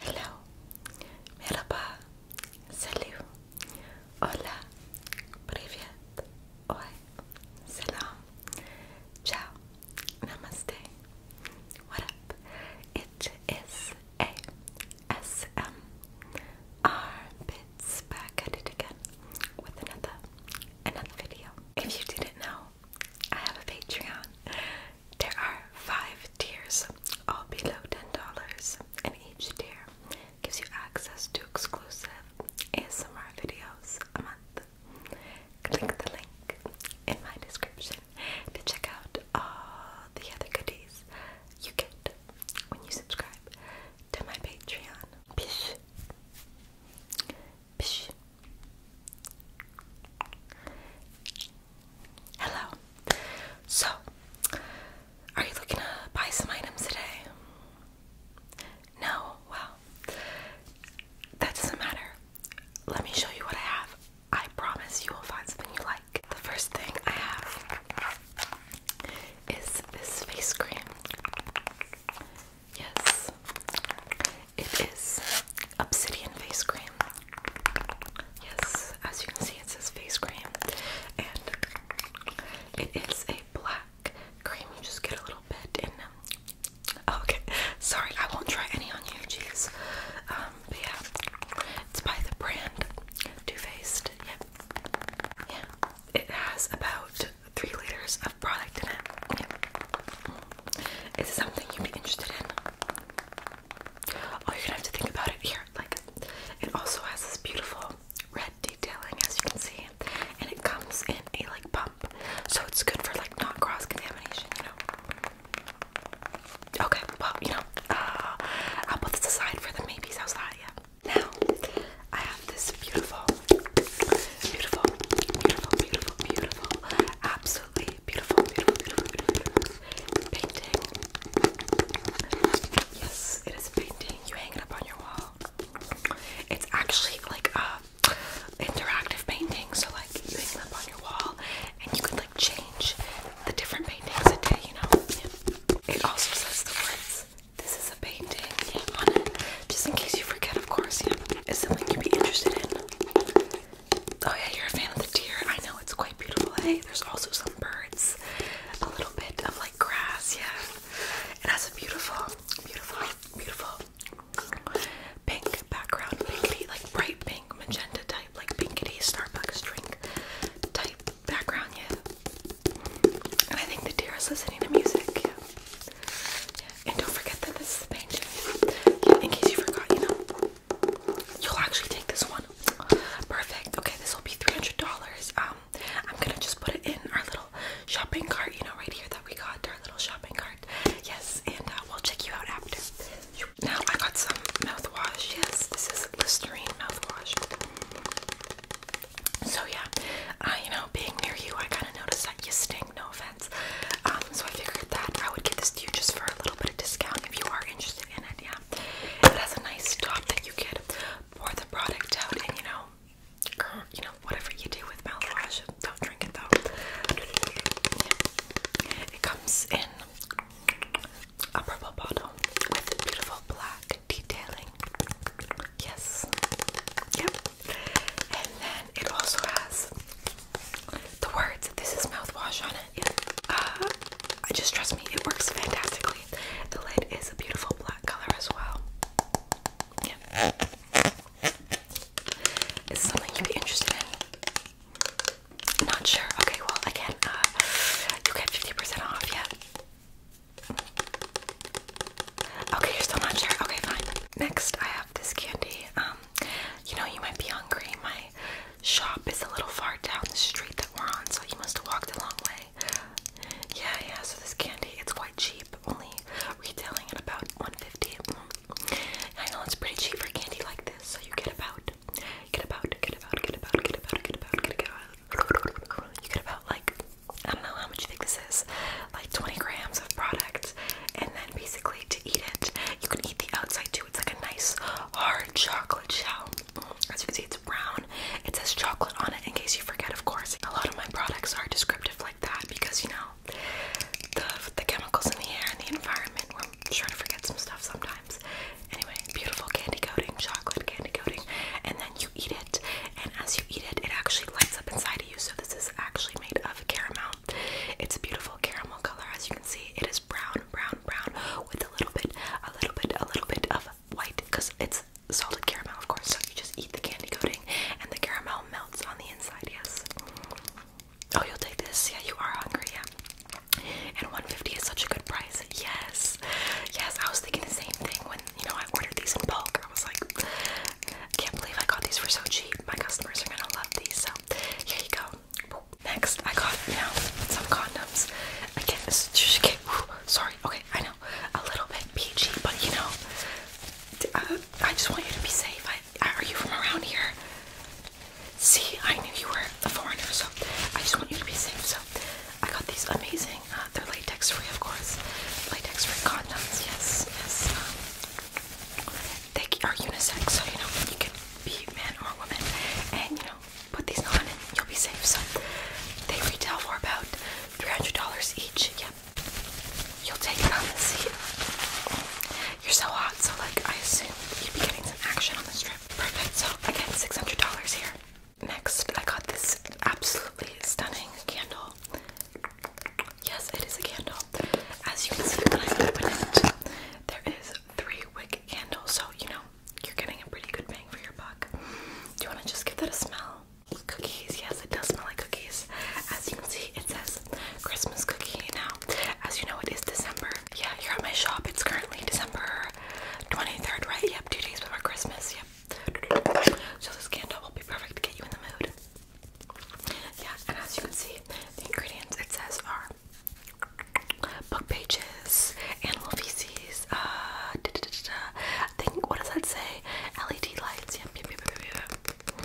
Hello, merhaba, salut, hola, привет, oi, salam, ciao, namaste, what up? It is ASMR Bits back at it again with another another video. If you didn't know, I have a Patreon. There are five tiers, all below $10, and each tier gives you access to exclusive ASMR videos a month. Click the link in my description to check out all the other goodies you get when you subscribe to my Patreon. Hello. So, are you looking to buy some items today? No? Well, that doesn't matter. Let me show you what I have. I promise you will find something you like. The first thing I have is this face cream. Yes, it is Obsidian Face Cream. Yes, as you can see, it says face cream, and it is a black cream. You just get a little bit in. Okay, sorry, I won't try any on you, jeez. Um, but yeah, it's by the brand Too Faced. Yep. Yeah, it has about three liters of product in it. Mm. Is Yep. it something you'd be interested in? Oh, you're gonna have to think about it here. Like, it also has this beautiful red detailing, as you can see, and it comes in a like pump, so it's good for like not cross contamination, you know. Okay, well, you know, uh, I'll put this aside for the maybes. How's Yeah. Now, I have this beautiful, beautiful, beautiful, beautiful, beautiful, absolutely beautiful, beautiful, beautiful, painting. Yes, it is a painting. You hang it up on your wall. It's actually like a uh, interactive painting, so like you hang it up on your wall and you can like change the different paintings a day, you know. It also says the words. This is a painting on it, just in case you forget, of course. Yeah, it's something you'd be interested in. Oh yeah, you're a fan of the deer. I know it's quite beautiful. Hey, eh? there's also some birds, a little bit of like grass. Yeah, it has a beautiful, beautiful, beautiful pink background, pinky like bright pink, magenta type, like pinky Starbucks drink type background. Yeah, and I think the deer is listening to music. Yeah, and don't forget that this is the painting. Yeah, in case you forgot, you know. You'll actually take this one. Perfect. Okay, this will be $300. Um, I'm gonna just put it in our little shopping cart, you know, right here that we got, our little shopping cart. Yes, and uh, we'll check you out after. Now I got some mouthwash. Yes, this is Listerine mouthwash. So yeah, I uh, you know, being near you, I kind of noticed that you stink no offense. Um, so I figured that I would give this to you just for a little bit of discount if you are interested in it, yeah. It has a nice top that you could pour the product out and you know, you know, whatever you do with mouthwash, don't drink it though. It comes in a purple bottle with beautiful black detailing. Yes. Yep. And then it also has the words, this is mouthwash on it. Uh, just trust me, it works fantastically. The lid is a beautiful black color as well. Yeah. Is something you'd be interested in? Not sure. Okay, well, again, uh, you get 50% off, yeah. Okay, you're still not sure. Okay, fine. Next, I have this candy. Um, um, you know, you might be hungry. My shop is a little far down the street that we're on, so you must have walked a long way. Yeah, yeah. So this candy, it's quite cheap. Only retailing at about 150. I know it's pretty cheap for candy like this. So you get about, you get about, get about, get about, get about, get about, get about. You get about like I don't know how much you think this is, like 20 grams of product, and basically to eat it. You can eat the outside too. It's like a nice hard chocolate shell. Mm, as you can see, it's brown. It says chocolate on it in case you forget, of course. A lot of my products are descriptive like that because, you know, the, the chemicals in the air and the environment, we're sure to forget some stuff sometimes. Anyway, beautiful candy coating, chocolate candy coating, and then you eat it, and as you eat it, it actually lights up inside of you. So, this is actually made of caramel. It's a beautiful caramel color, as you can see. It is brown, brown, brown, with a little bit, a little bit, a little bit of white, because it's salted caramel, of course. So you just eat the candy coating, and the caramel melts on the inside. Yes. Oh, you'll take this. Yeah, you are hungry. Yeah. And 150 is such a good price. Yes. Yes, I was thinking the same thing when you know I ordered these in bulk. I was like, I can't believe I got these for so cheap. My customers are gonna love these, so here you go. Next, I got you now some condoms. Again, this is okay, whew, sorry. Okay, I know a little bit peachy, but you know, uh, I just want you to be safe. I, are you from around here? See, I knew you were a foreigner, so I just want you to be safe. So I got these amazing. Uh, they're like latex free, of course. Latex free condoms, yes, yes. Um, they are unisex, so you know, you can be man or woman, and you know, put these on and you'll be safe. So they retail for about $300 each. Yep. You'll take it on the seat. You're so hot, so like I assume you'd be getting some action on this trip. Perfect. So again, $600 here. Next, I got this absolutely stunning candle. Yes, it is a candle. As you can see when I open it, there is three wick candles, so you know you're getting a pretty good bang for your buck. Do you want to just give that a smell? Cookies, yes, it does smell like cookies. As you can see, it says Christmas cookie. Now, as you know, it is December. Yeah, you're at my shop. It's currently December 23rd, right? Yep, two days before Christmas. Yep. So this candle will be perfect to get you in the mood. Yeah, and as you can see, the ingredients it says are book pages, animal feces, uh, da, da, da, da, I think, what does that say? LED lights, yep, yep, yep, yep, yep.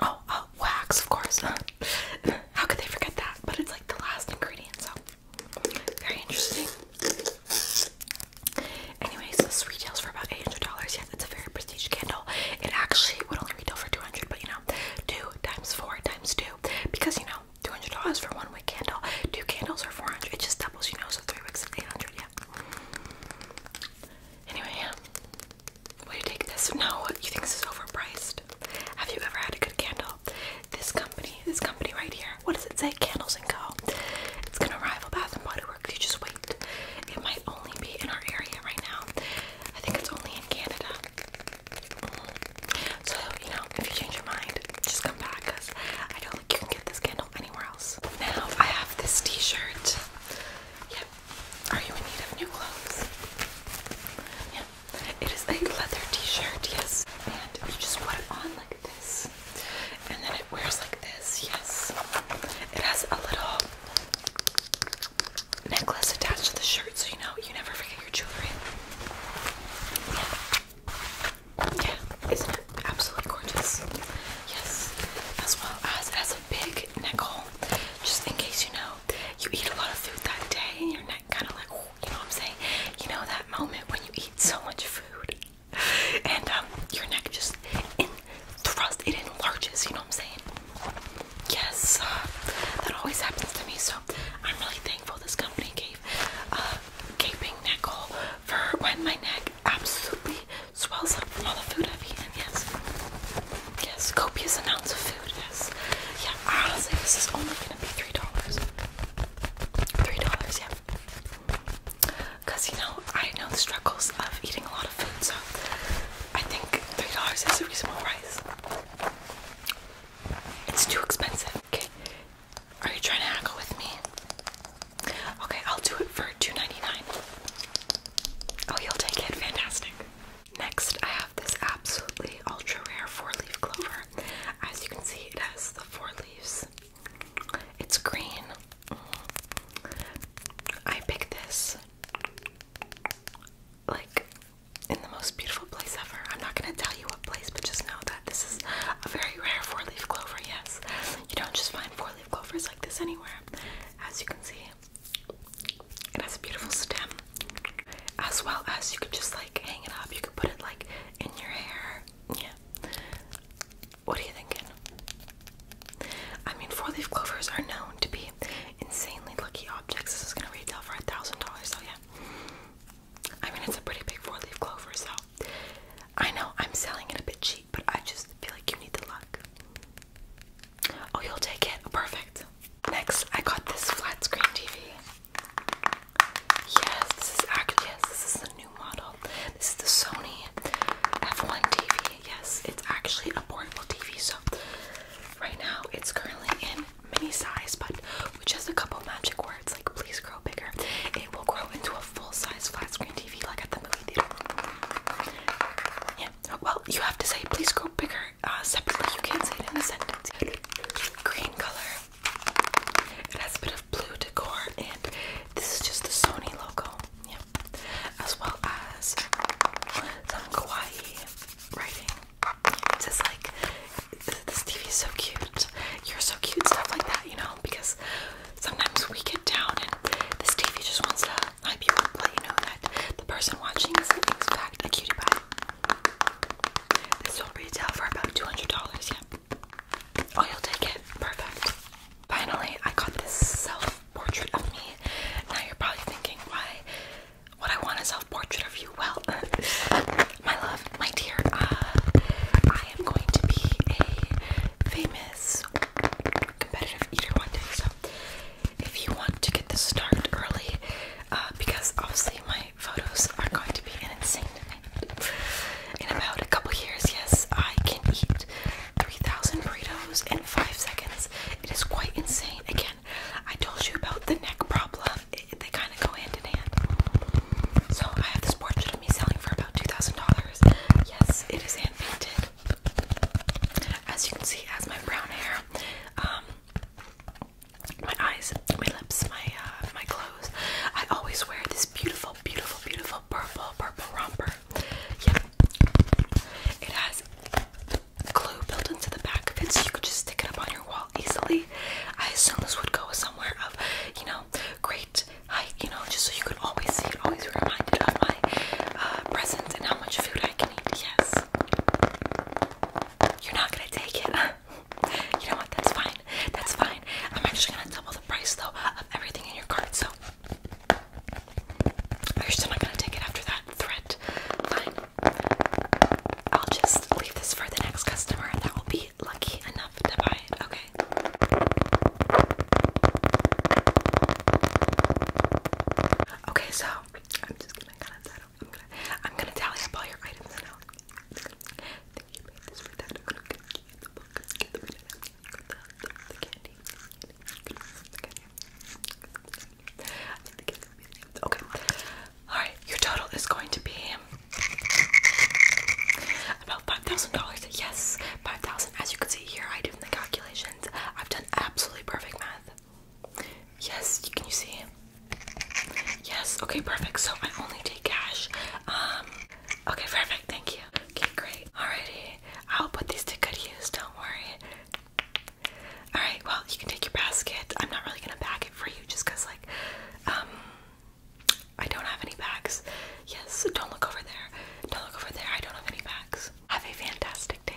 Oh, uh, wax, of course. How could they forget that? But it's like the last ingredient, so very interesting. Anyways, this retails for about $800. Yeah, it's a very prestigious candle. It actually would only retail for 200 but you know, 2 times 4 times 2. Because, you know, $200 for one wick candle. Two candles are 400 It just doubles, you know, so 3 wicks is 800 yeah. Anyway, yeah. Will you take this? No, you think this is overpriced? Have you ever had a good candle? This company, this company right here, what does it say? Candles and Co. It's gonna rival Bath and Body you just wait. It might only be in our area right now. I think it's only in Canada. So, you know, if you change your mind, just come back because I don't think you can get this candle anywhere else. Now I have this t-shirt. Yep. Are you in need of new clothes? Yeah. It is a leather t-shirt, yes. And you just put it on like this. And then it wears like this, yes. It has a little necklace attached to the shirt so you know you never forget your jewelry. Yeah. Yeah, isn't it absolutely gorgeous? Yes. As well as it has a big neck hole. Just in case you know you eat a lot of food that day and your neck kinda like you know what I'm saying? You know that moment when you eat so much food and um, your neck just in thrust, it enlarges, you know what I'm saying? Yes, uh, that always happens to me, so I'm really thankful this company gave uh, gaping neck hole for when my neck absolutely swells up from all the food I've eaten, yes. Yes, copious amounts of food, yes. Yeah, honestly, this is only gonna be $3. $3, yeah because you know I know the struggles of eating a lot of food, so I think three dollars is a reasonable price. It's too expensive. Okay, are you trying to haggle with me? Okay, I'll do it for two ninety nine. Oh, you'll take it. Fantastic. Next, I have this absolutely ultra rare four leaf clover. As you can see, it has the four leaves it's green. Mm. I picked this like in the most beautiful place ever. I'm not gonna tell you what place, but just know that this is a very rare four leaf clover, yes. You don't just find four leaf clovers like this anywhere. As you can see, it has a beautiful stem. As well as you could just like hang it up, you could put it like in your hair, yeah. What are you thinking? I mean, four-leaf clovers are known to be insanely lucky objects. This is gonna retail for a thousand dollars, so yeah. I mean, it's a pretty big four-leaf clover, so I know I'm selling it a bit cheap, but I just feel like you need the luck. Oh, you'll take it. Perfect. Next, I got this flat screen TV. Yes, this is actually yes, this is the new model. This is the Sony F1 TV. Yes, it's actually a portable TV. So right now it's currently in mini size, but which has a couple magic words like please grow bigger. It will grow into a full-size flat screen TV like at the movie theater. Yeah. Well, you have to say please grow bigger uh, separately. You can't say it in a sentence. Green color. It has a bit of blue decor, and this is just the Sony logo, yeah, as well as some kawaii writing. It's just like this TV is so cute. You're so cute, stuff like that, you know, because sometimes we get down and this TV just wants to hype you up, let you know that the person watching is in fact a cutie pie. They sold retail for about $200, yeah. Oh, you'll take it. Perfect. Finally, I got this self-portrait of me. Now you're probably thinking, why What I want a self-portrait of you? Well, uh, my love, my dear, uh, I am going to be a famous competitive eater one day. So if you want to get this started early, uh, because obviously my photos are going to be insane in about a couple years, yes, I can eat 3,000 burritos in five seconds. It is quite insane. Again, I told you about the neck problem. they kind of go hand in hand. So I have this portrait of me selling for about $2,000. Yes, it is hand painted. As you can see, as my brown hair. Um, my eyes, my lips, my uh, my clothes. I always wear this beautiful, beautiful, beautiful purple, purple romper. Yeah, it has glue built into the back of it, so you could just stick it up on your wall easily. I assume this would go somewhere of, you know, great height, you know, just so you could always see it, always be reminded of my uh, presence and how much food I can eat. Yes. You're not gonna take it. you know what? That's fine. That's fine. I'm actually gonna double the price though of everything in your cart. So you're still not gonna take it after that threat. Fine. I'll just leave this for the next customer that will be lucky enough to buy it. Okay. Okay, so I'm just gonna cut that I'm gonna, I'm gonna tally up all your items now. I think you made this for I'm gonna get the book, get the banana, the, the, candy, Okay. Alright, your total is going to be about $5,000. Yes, 5000 As you can see here, I did the calculations. I've done absolutely perfect math. Yes, can you see? Yes, okay, perfect. So I only take cash. Um, okay, perfect, thank you. Okay, great. Alrighty. I'll put these to good use, don't worry. Alright, well you can take your basket. I'm not really gonna pack it for you just because like um I don't have any bags. Yes, don't look over there. Don't look over there. I don't have any bags. Have a fantastic day.